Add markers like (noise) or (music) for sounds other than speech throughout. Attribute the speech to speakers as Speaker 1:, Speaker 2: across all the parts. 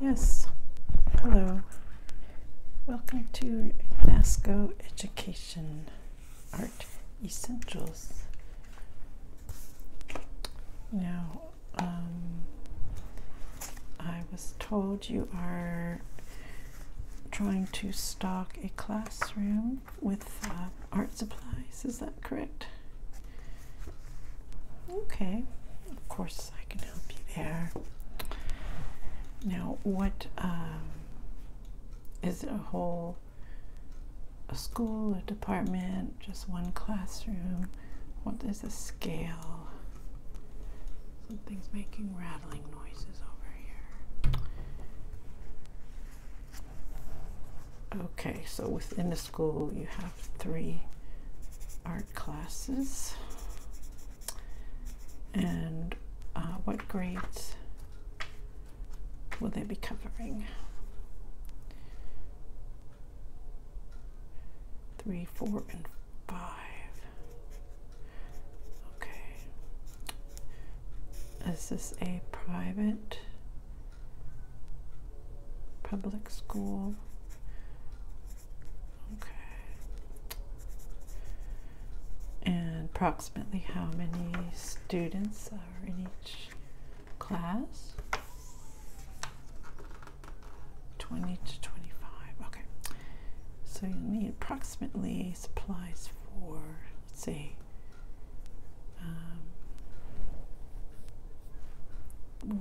Speaker 1: Yes, hello. Welcome to NASCO Education Art Essentials. Now, um, I was told you are trying to stock a classroom with uh, art supplies, is that correct? Okay, of course I can help you there. Now, what um, is it a whole a school, a department, just one classroom? What is the scale? Something's making rattling noises over here. Okay, so within this school you have three art classes. And uh, what grades will they be covering? Three, four, and five. Okay. Is this a private Public school. Okay. And approximately how many students are in each class? 20 to 25. Okay. So you need approximately supplies for, let's see, um,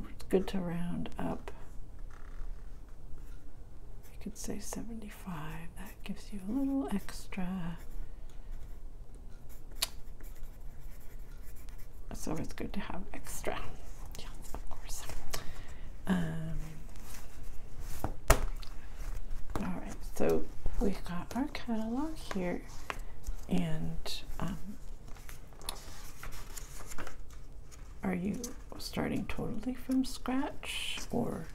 Speaker 1: it's good to round up. You could say 75. That gives you a little extra. It's always good to have extra. Yes, of course. Um, all right, so we've got our catalog here, and um, are you starting totally from scratch or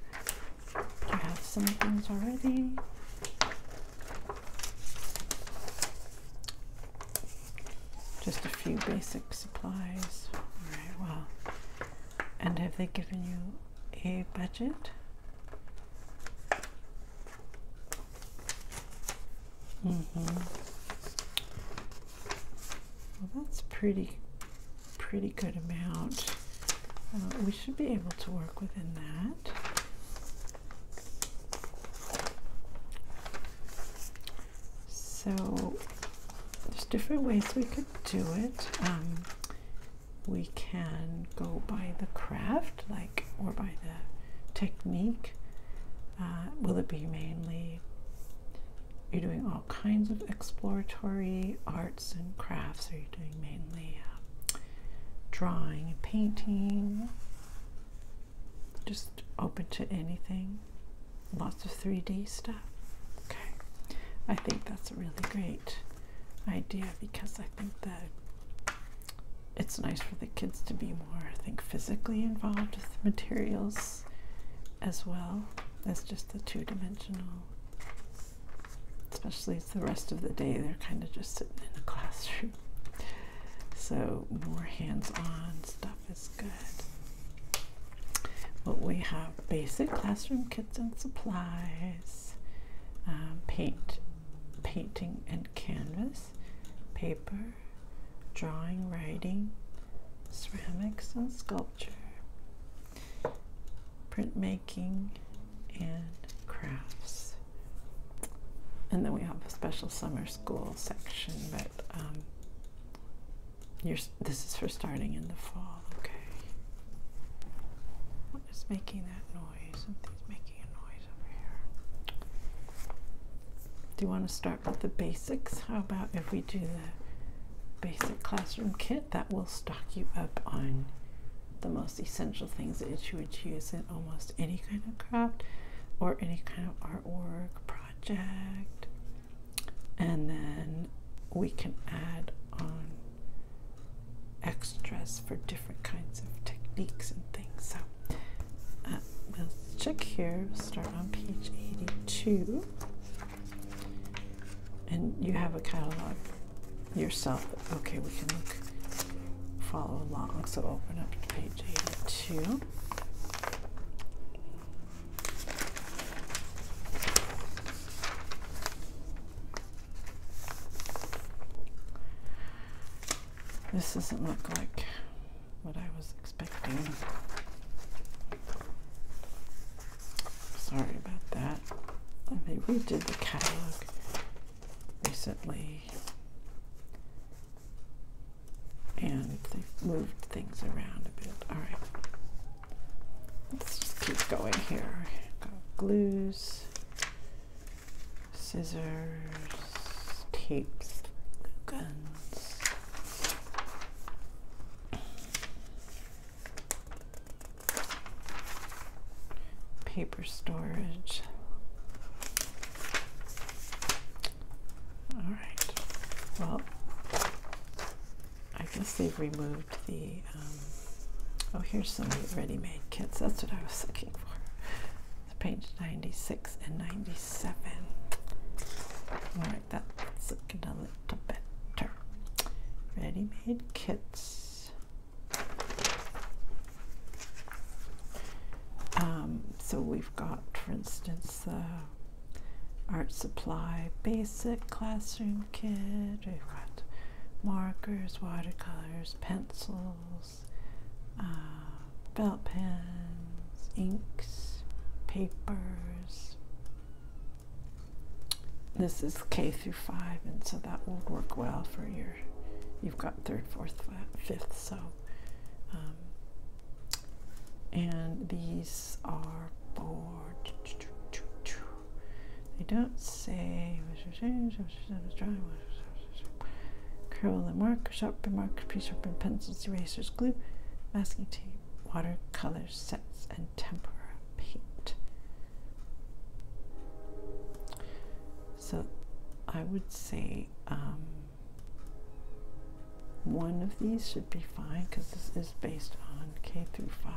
Speaker 1: do you have some things already? Just a few basic supplies. Alright, well. And have they given you a budget? Mm -hmm. Well, that's pretty, pretty good amount. Uh, we should be able to work within that. So there's different ways we could do it. Um, we can go by the craft, like, or by the technique uh, will it be mainly you're doing all kinds of exploratory arts and crafts? Are you doing mainly uh, drawing and painting? Just open to anything. Lots of 3D stuff. Okay, I think that's a really great idea because I think that it's nice for the kids to be more, I think, physically involved with materials as well as just the two dimensional. Especially the rest of the day, they're kind of just sitting in the (laughs) classroom. So, more hands on stuff is good. But we have basic classroom kits and supplies, um, paint, painting, and canvas paper, drawing, writing, ceramics and sculpture, printmaking, and crafts. And then we have a special summer school section, but um, this is for starting in the fall, okay? What is making that noise? Something's making a noise over here. Do you want to start with the basics? How about if we do the basic classroom kit? That will stock you up on the most essential things that you would use in almost any kind of craft or any kind of artwork project. And then we can add on extras for different kinds of techniques and things. Uh, we'll check here, start on page 82. And you have a catalog yourself. Okay, we can follow along. So open up to page 82. This doesn't look like what I was expecting. Sorry about that. They redid the catalog recently and they've moved things around a bit. Alright, let's just keep going here. glues scissors, tapes, guns. Paper storage. All right. Well, I guess they've removed the. Um, oh, here's some ready-made kits. That's what I was looking for page 96 and 97. Alright, that's looking a little better. Ready made kits. Um, so we've got, for instance, the art supply basic classroom kit. We've got markers, watercolors, pencils pencils, felt pens, inks, papers. This is K through five, and so that will work well for your. You've got third, fourth, fifth, so. and these are for. They don't say curl markers, mark, markers, pre sharpened pencils, erasers, glue, masking tape, watercolors, sets, and tempera paint. So I would say um, one of these should be fine because this is based on K through 5.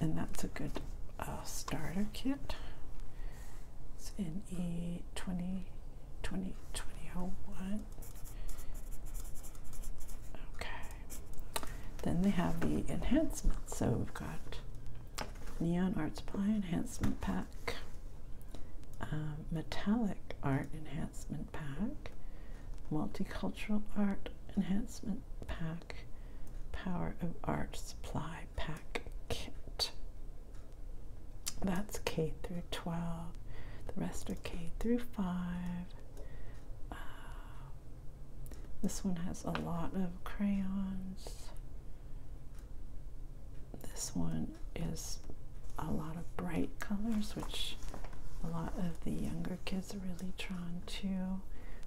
Speaker 1: And that's a good uh, starter kit. It's in 20, 20, 20, 2001. Okay. Then they have the enhancements. So we've got Neon Art Supply Enhancement Pack, Metallic Art Enhancement Pack, Multicultural Art Enhancement Pack, Power of Art Supply Pack Kit. That's K through 12. The rest are K through 5. Uh, this one has a lot of crayons. This one is a lot of bright colors, which a lot of the younger kids are really drawn to.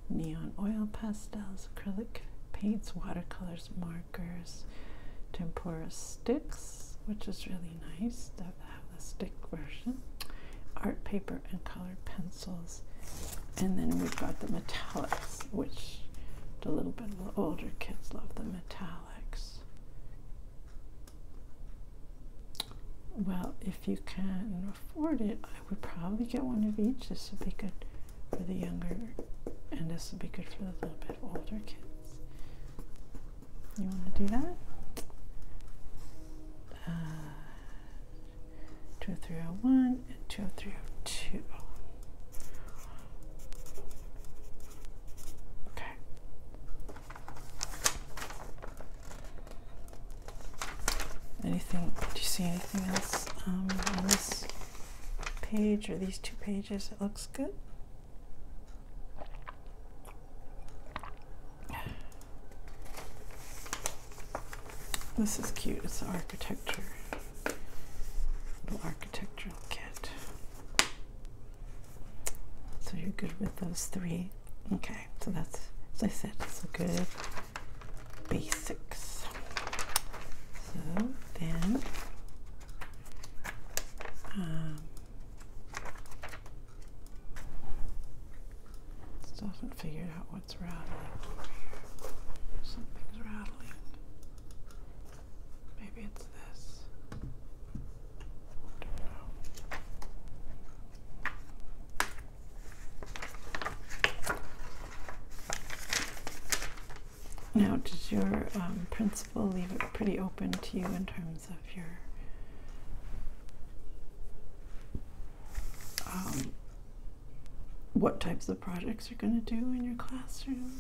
Speaker 1: Neon oil pastels, acrylic paints, watercolors markers, tempura sticks, which is really nice to have the stick version, art paper, and colored pencils. And then we've got the metallics, which the little bit older kids love the metallics. Well, if you can afford it, I would probably get one of each. This would be good for the younger, and this would be good for the little bit older kids. You want to do that? Uh, oh oh and 20302. Okay. Anything? Do you see anything else um, on this page or these two pages? pages. It looks good. This is cute. It's the architecture. Little architectural kit. So you're good with those three. Okay, so that's, as I said, it's a good basics. So then um, still haven't figured out what's rattling over here. Something's rattling. Maybe it's this. Now, did your um, principal leave it pretty open to you in terms of your um, what types of projects you're going to do in your classroom?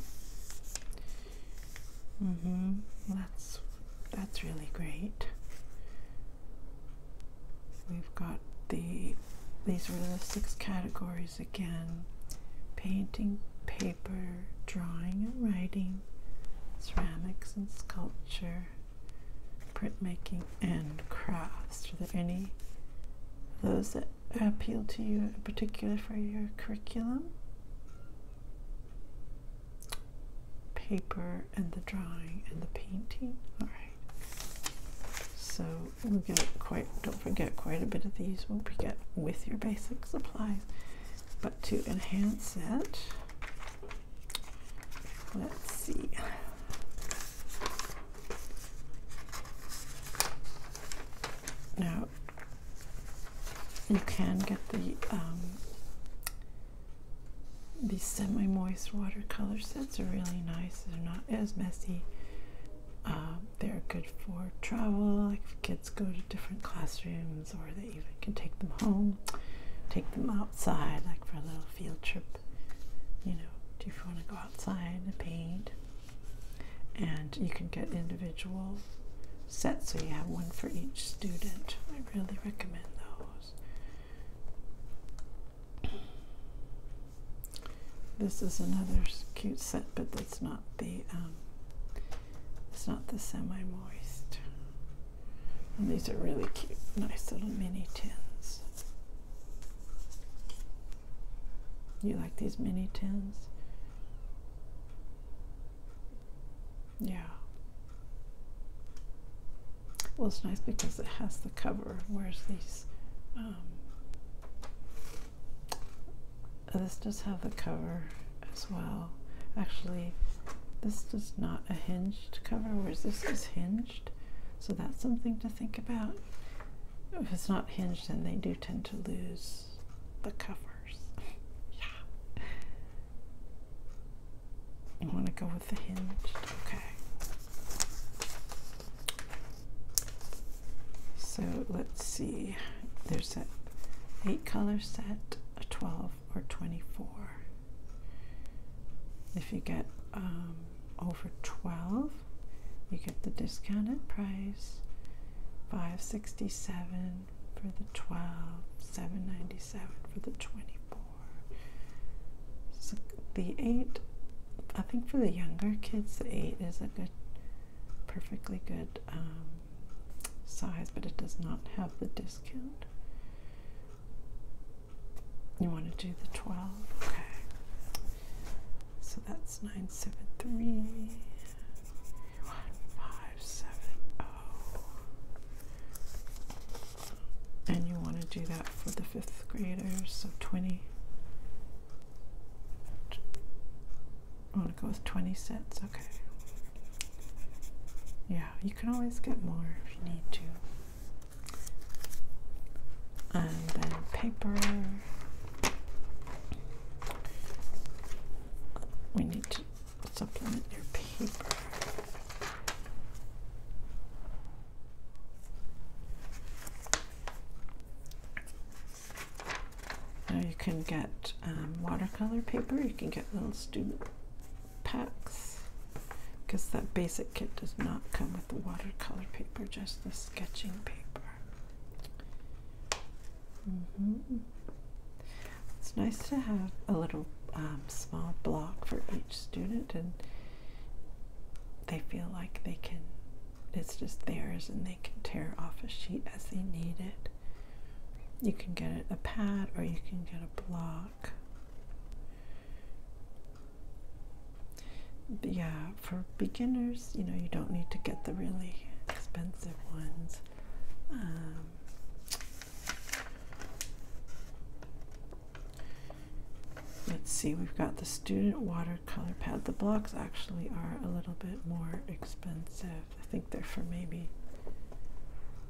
Speaker 1: Mm-hmm. That's that's really great. We've got the these were the six categories again painting, paper, drawing and writing, ceramics and sculpture, printmaking, and crafts. Are there any those that appeal to you in particular for your curriculum? Paper and the drawing and the painting. All right. So we get quite don't forget quite a bit of these will be get with your basic supplies. But to enhance it, let's see. Now you can get the um, these semi-moist watercolor sets are really nice. They're not as messy um, they're good for travel, like kids go to different classrooms, or they even can take them home, take them outside, like for a little field trip. You know, do you want to go outside and paint, and you can get individual sets, so you have one for each student. I really recommend those. This is another cute set, but that's not um, it's not the semi-moist. And these are really cute, nice little mini tins. You like these mini tins? Yeah. Well, it's nice because it has the cover, whereas these um, this does have the cover as well. Actually, this is not a hinged cover, whereas this is hinged. So that's something to think about. If it's not hinged, then they do tend to lose the covers. (laughs) yeah. I want to go with the hinged. Okay. So let's see. There's an eight color set, a 12 or 24. If you get um, over 12, you get the discounted price, 567 for the 12, 797 for the 24. So the 8, I think for the younger kids, the 8 is a good perfectly good um, size, but it does not have the discount. You want to do the 12? Okay. So that's 973. 1570. And you want to do that for the fifth graders, so 20. I'm gonna go with 20 sets. okay. Yeah, you can always get more if you need to. And then paper. We need to supplement your paper. Now you can get um, watercolor paper, you can get little student packs because that basic kit does not come with the watercolor paper, just the sketching paper. Mm-hmm. It's nice to have a little um, small block for each student and they feel like they can it's just theirs and they can tear off a sheet as they need it. You can get a pad or you can get a block. yeah, for beginners, you know, you don't need to get the really expensive ones. Um, let's see, we've got the student water color pad. The blocks actually are a little bit more expensive. I think they're for maybe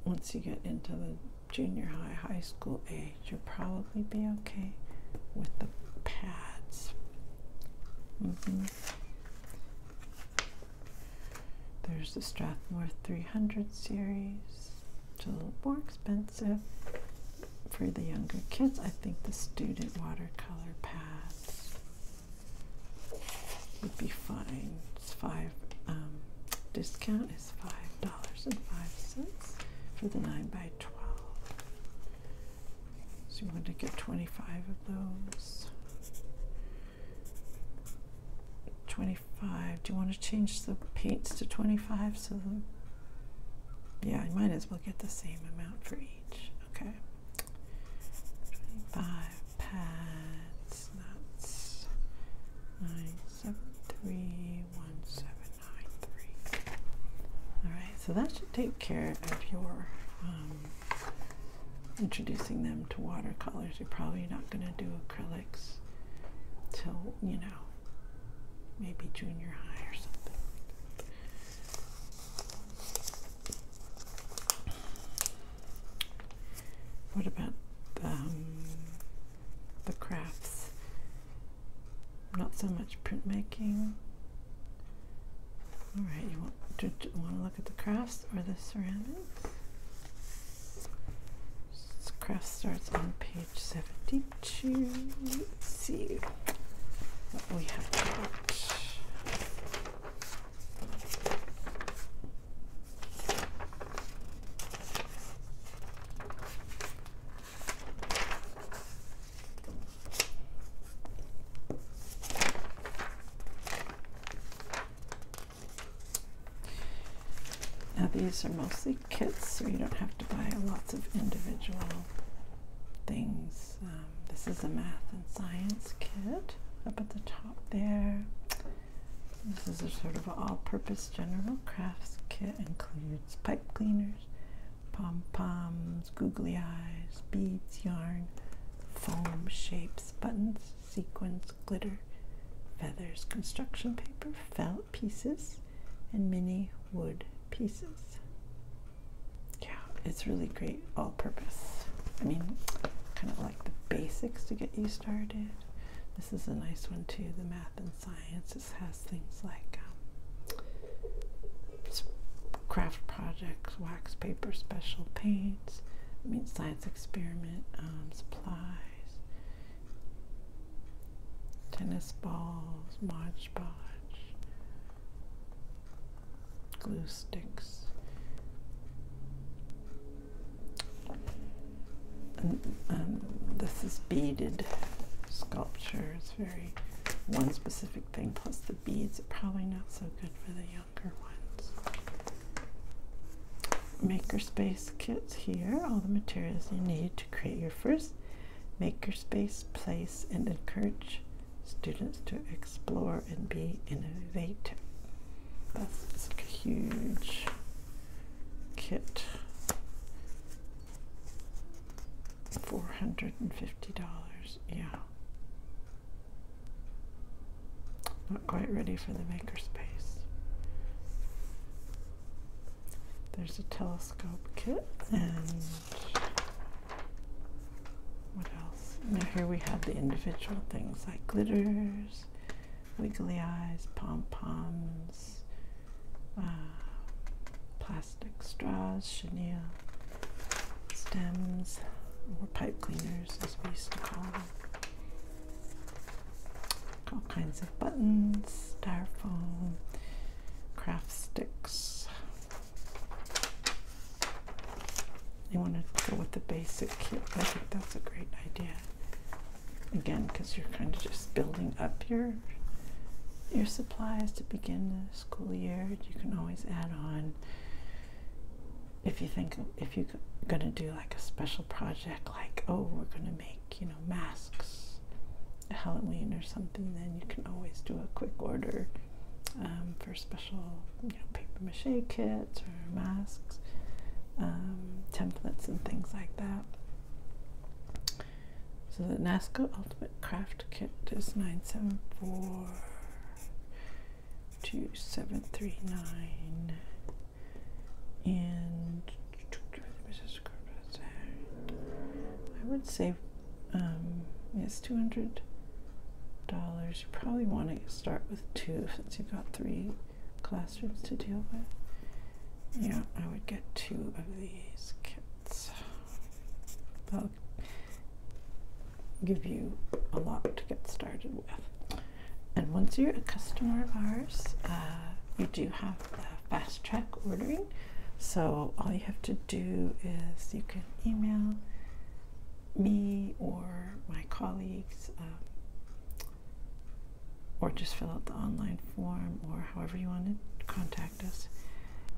Speaker 1: once you get into the junior high, high school age, you'll probably be okay with the pads. Mm-hmm. There's the Strathmore 300 series, it's a little more expensive for the younger kids. I think the student watercolor pads would be fine. It's five. Um, discount is five dollars and five cents for the nine by twelve. So you want to get twenty-five of those. Twenty-five. Do you want to change the paints to twenty-five? So,
Speaker 2: yeah, you might as
Speaker 1: well get the same amount for each. Okay. 25 pads. That's 9731793. Alright, so that should take care of your um, introducing them to watercolors. You're probably not going to do acrylics till, you know, maybe junior high or something. What about the, um, the crafts? Not so much printmaking. All right, you want to, to want to look at the crafts or the ceramics? Craft starts on page 72. Let's see. Now these are mostly kits, so you don't have to buy lots of individual things. Um, this is a math and science kit up at the top there. This is a sort of all-purpose general crafts kit. Includes pipe cleaners, pom poms, googly eyes, beads, yarn, foam, shapes, buttons, sequins, glitter, feathers, construction paper, felt pieces, and mini wood pieces yeah, it's really great all purpose. I mean, kind of like the basics to get you started. This is a nice one too, the math and science. It has things like um, craft projects, wax paper, special paints, I mean science experiment, um, supplies, tennis balls, Mod Podge, glue sticks. Um, this is beaded sculpture. It's very one specific thing. Plus the beads are probably not so good for the younger ones. Makerspace kits here. All the materials you need to create your first makerspace, place, and encourage students to explore and be innovative. That's a huge kit. $450, yeah. Not quite ready for the makerspace. There's a telescope kit and what else? Now here we have the individual things like glitters, wiggly eyes, pom-poms, uh, plastic straws, chenille, stems, or pipe cleaners as we used to call them. All kinds of buttons, styrofoam, craft sticks, you want to go with the basic kit. I think that's a great idea. Again, because you're kind of just building up your your supplies to begin the school year. You can always add on if you think if you're gonna do like a special project, like oh we're gonna make you know masks, Halloween or something. Then you can always do a quick order um, for special paper mache kits or mm-hmm. masks, um, templates, and things like that. So the Nasko Ultimate Craft Kit is 974 2739 and (tsk) I would say um, it's $200. You probably want to start with two since you've got three classrooms to deal with. Yeah, I would get two of these kits. They'll give you a lot to get started with. And once you're a customer of ours, uh, you do have fast track ordering. So all you have to do is you can email me or my colleagues, um, or just fill out the online form, or however you want to contact us.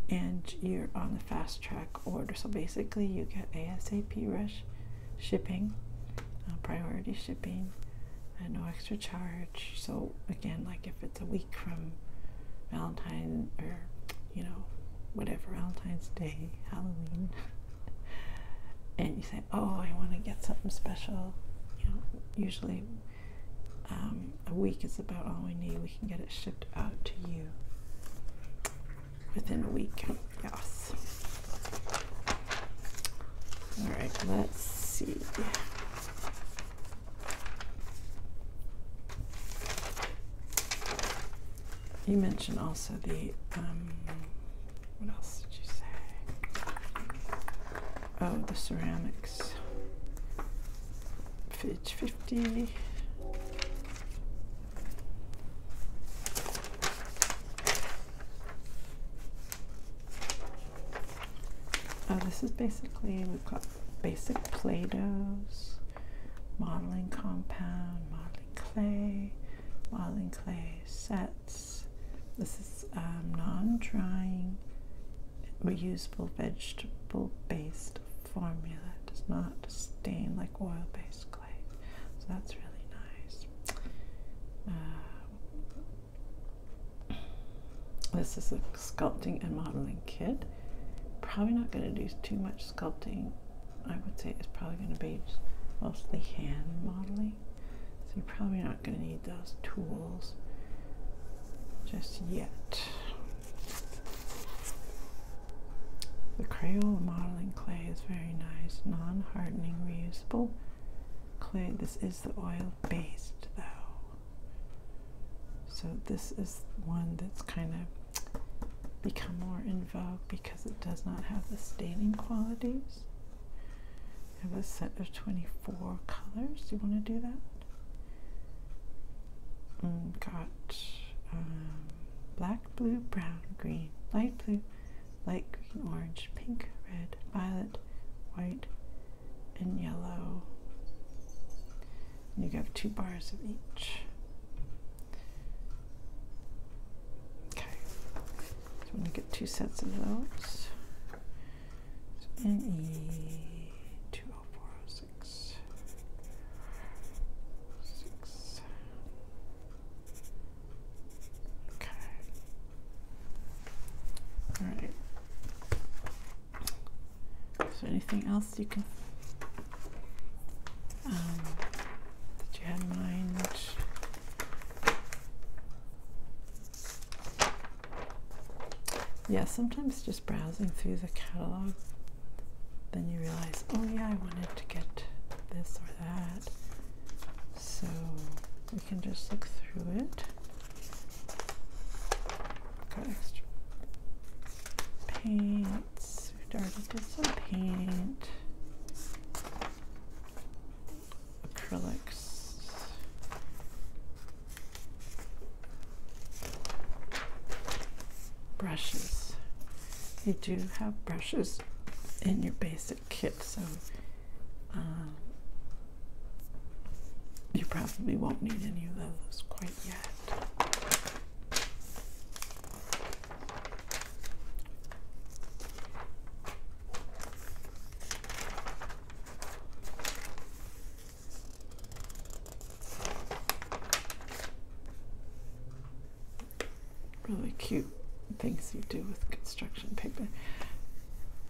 Speaker 1: And you're on the fast track order. So basically, you get ASAP rush shipping, uh, priority shipping, and no extra charge. So, again, like if it's a week from Valentine or you know, whatever, Valentine's Day, Halloween, (laughs) and you say, oh, I want to get something special, you know, usually um, a week is about all we need. We can get it shipped out to you within a week. Yes. All right, let's see. You mentioned also the um, what else did you say? Oh, the ceramics. Page fifty. Oh, this is basically we've got basic Play-Dohs modeling compound, modeling clay, modeling clay sets. This is um, non-drying, reusable vegetable-based formula. It does not stain like oil-based clay. So that's really nice. Uh, this is a sculpting and modeling kit. Probably not going to do too much sculpting. I would say it's probably going to be mostly hand modeling. So you're probably not going to need those tools just yet. The Crayola modeling clay is very nice, non-hardening, reusable clay. This is the oil-based though. So this is one that's kind of become more in vogue because it does not have the staining qualities. I have a set of 24 colors. Do you want to do that? Mm, got um, black, blue, brown, green, light blue, light green, orange, pink, red, violet, white, and yellow you have two bars of each. Okay, so I'm going to get two sets of those. So NE 20406. Six. Okay. All right. So anything else? else you can um, that you had in mind? Yeah, sometimes just browsing through the catalog, then you realize, oh yeah, I wanted to get this or that. So we can just look through it. extra paint let's, we already some paint. Acrylics. Brushes. You do have brushes in your basic kit, so uh, you probably won't need any of those quite yet. Really cute things you do with construction paper.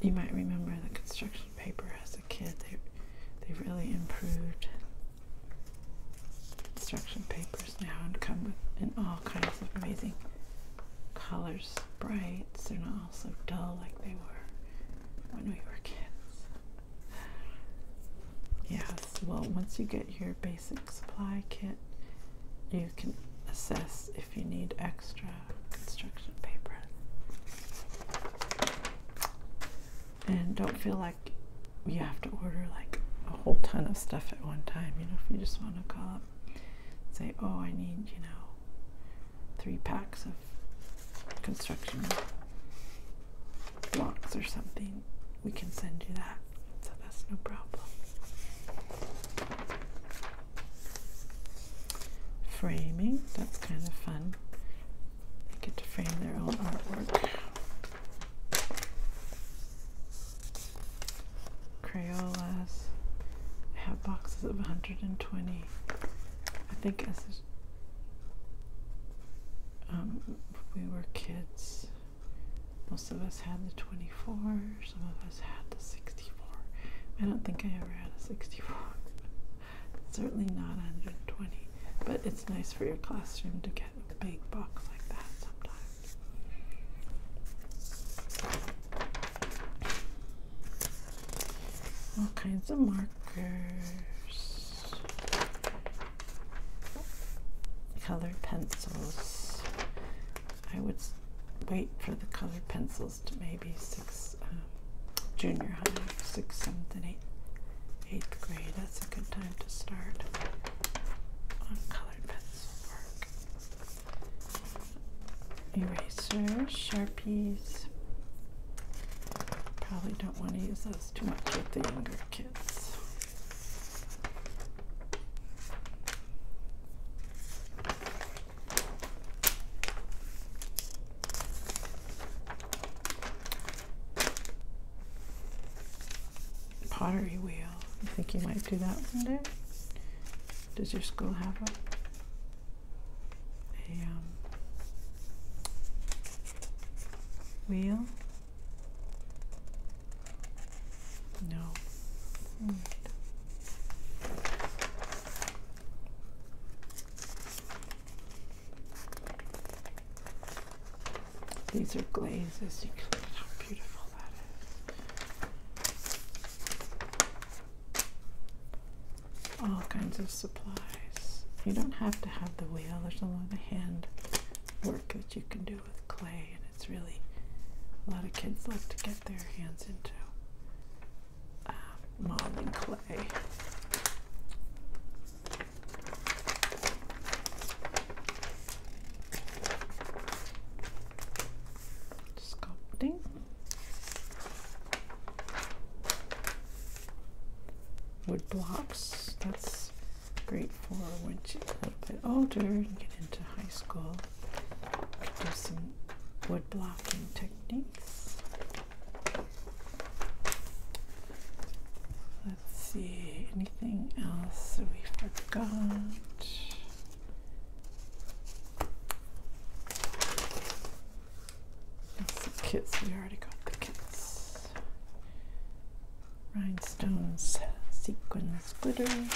Speaker 1: You might remember the construction paper as a kid. They they really improved Construction papers now come with in all kinds of amazing colors, brights. They're not all so dull like they were when we were kids. Yes, well, once you get your basic supply kit, you can assess if you need extra construction paper and don't feel like you have to order like a whole ton of stuff at one time. You know, if you just want to call up say, oh, I need, you know, three packs of construction blocks or something, we can send you that. So that's no problem. Framing, that's kind of fun. They get to frame their own artwork. Crayolas. I have boxes of 120. I think as um, we were kids, most of us had the 24, some of us had the 64. I don't think I ever had a 64. (laughs) Certainly not 120. But it's nice for your classroom to get a big box like that sometimes. All kinds of markers, colored pencils. I would wait for the colored pencils to maybe six, um, junior high, six, seventh, and eighth eighth grade. That's a good time to start on colored pencil work. Erasers, Sharpies. Probably don't want to use those too much with the younger kids pottery wheel. I think you might do that one day. Does your school have a, um, wheel? No. Hmm. These are glazes. You can look at how beautiful that is. All kinds of supplies. You don't have to have the wheel. There's a lot of hand work that you can do with clay, and it's really a lot of kids love to get their hands into uh, modeling clay sculpting wood blocks that's great for when you a little bit older and get into high school do some wood blocking techniques Let's see, anything else we forgot? the kits, we already got the kits. Rhinestones, sequins, glitters,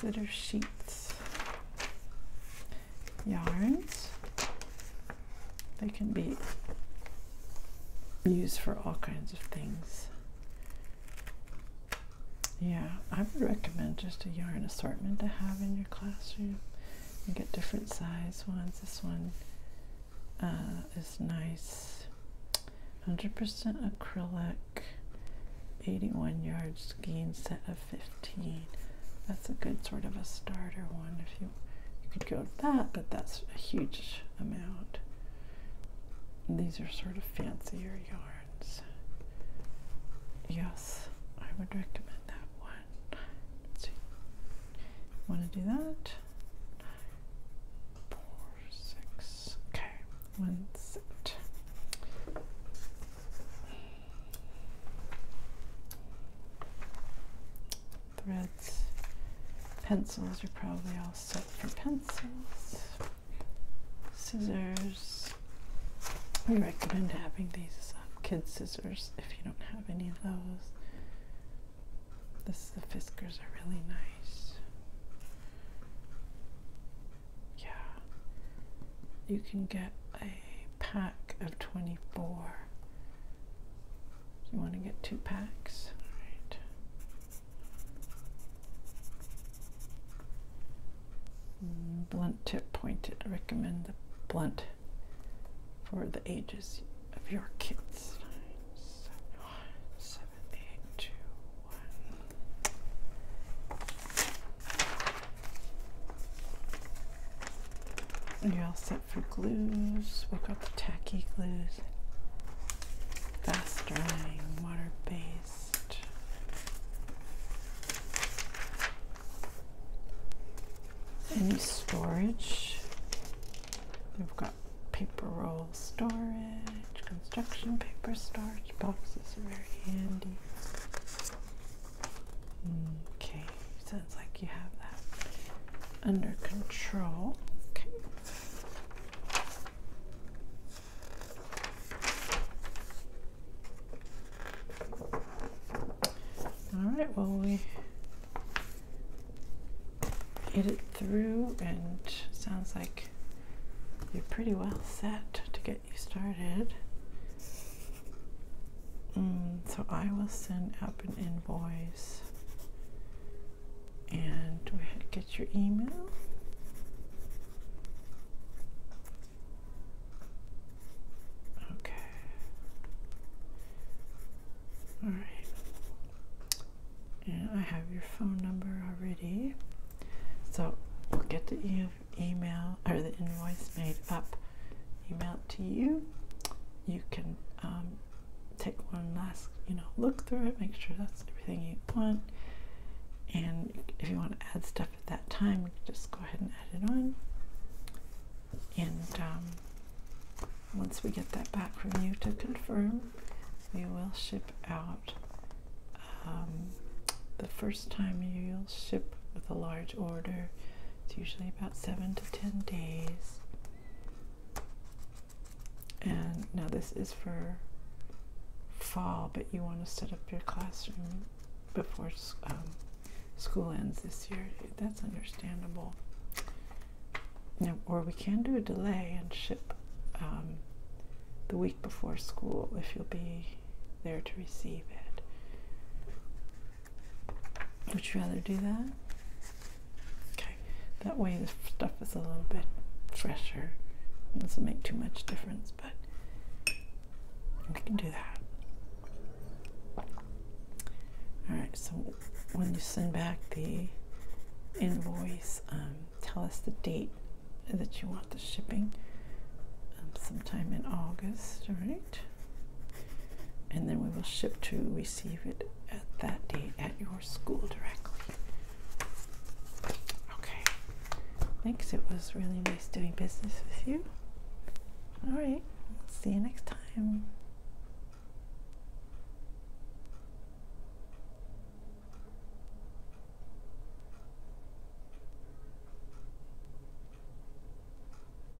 Speaker 1: glitter sheets, yarns, they can be used for all kinds of things. Yeah, I would recommend just a yarn assortment to have in your classroom. You get different size ones. This one uh, is nice. 100% acrylic, 81 yards skein set of 15. That's a good sort of a starter one if you you could go to that, but that's a huge amount. these are sort of fancier yarns. Yes, I would recommend that one. see. Want to do that? Four, six. Okay, one set threads. Pencils are probably all set for pencils. Scissors. We recommend having these uh, kid scissors if you don't have any of those. the Fiskars are really nice. Yeah. You can get a pack of 24. you want to get two packs. All right. Blunt tip pointed. Recommend the blunt for the ages of your kids. Nine, seven, one, seven, eight, two, one for glues. we've got the tacky glues. Fast drying, water based. Any storage. We've got paper roll storage, construction paper storage. Boxes are very handy. Okay, like you have that under control. Okay. All right, well, we get it through, and sounds like you're pretty well set to get you started. Mm, so I will send up an invoice and get your email. Okay. All right. And I have your phone number already. So we'll get the email or the invoice made up email to you. You can um, take one last, you know, look through it, make sure that's everything you want. And if you want to add stuff at that time, just go ahead and add it on. And um, once we get that back from you to confirm, we will ship out um, the first time you'll ship with a large order. It's usually about seven to ten days. And now this is for fall, but you want to set up your classroom before um, school ends this year. That's understandable. Now, or we can do a delay and ship um, the week before school if you'll be there to receive it. Would you rather do that? Okay, that way the stuff is a little bit fresher. doesn't make too much difference, but we can do that. Alright, so when you send back the invoice, um, tell us the date that you want the shipping um, sometime in August, all right? and then we will ship to receive it at that date at your school directly. Okay. Thanks. It was really nice doing business with you. All right. See you next time.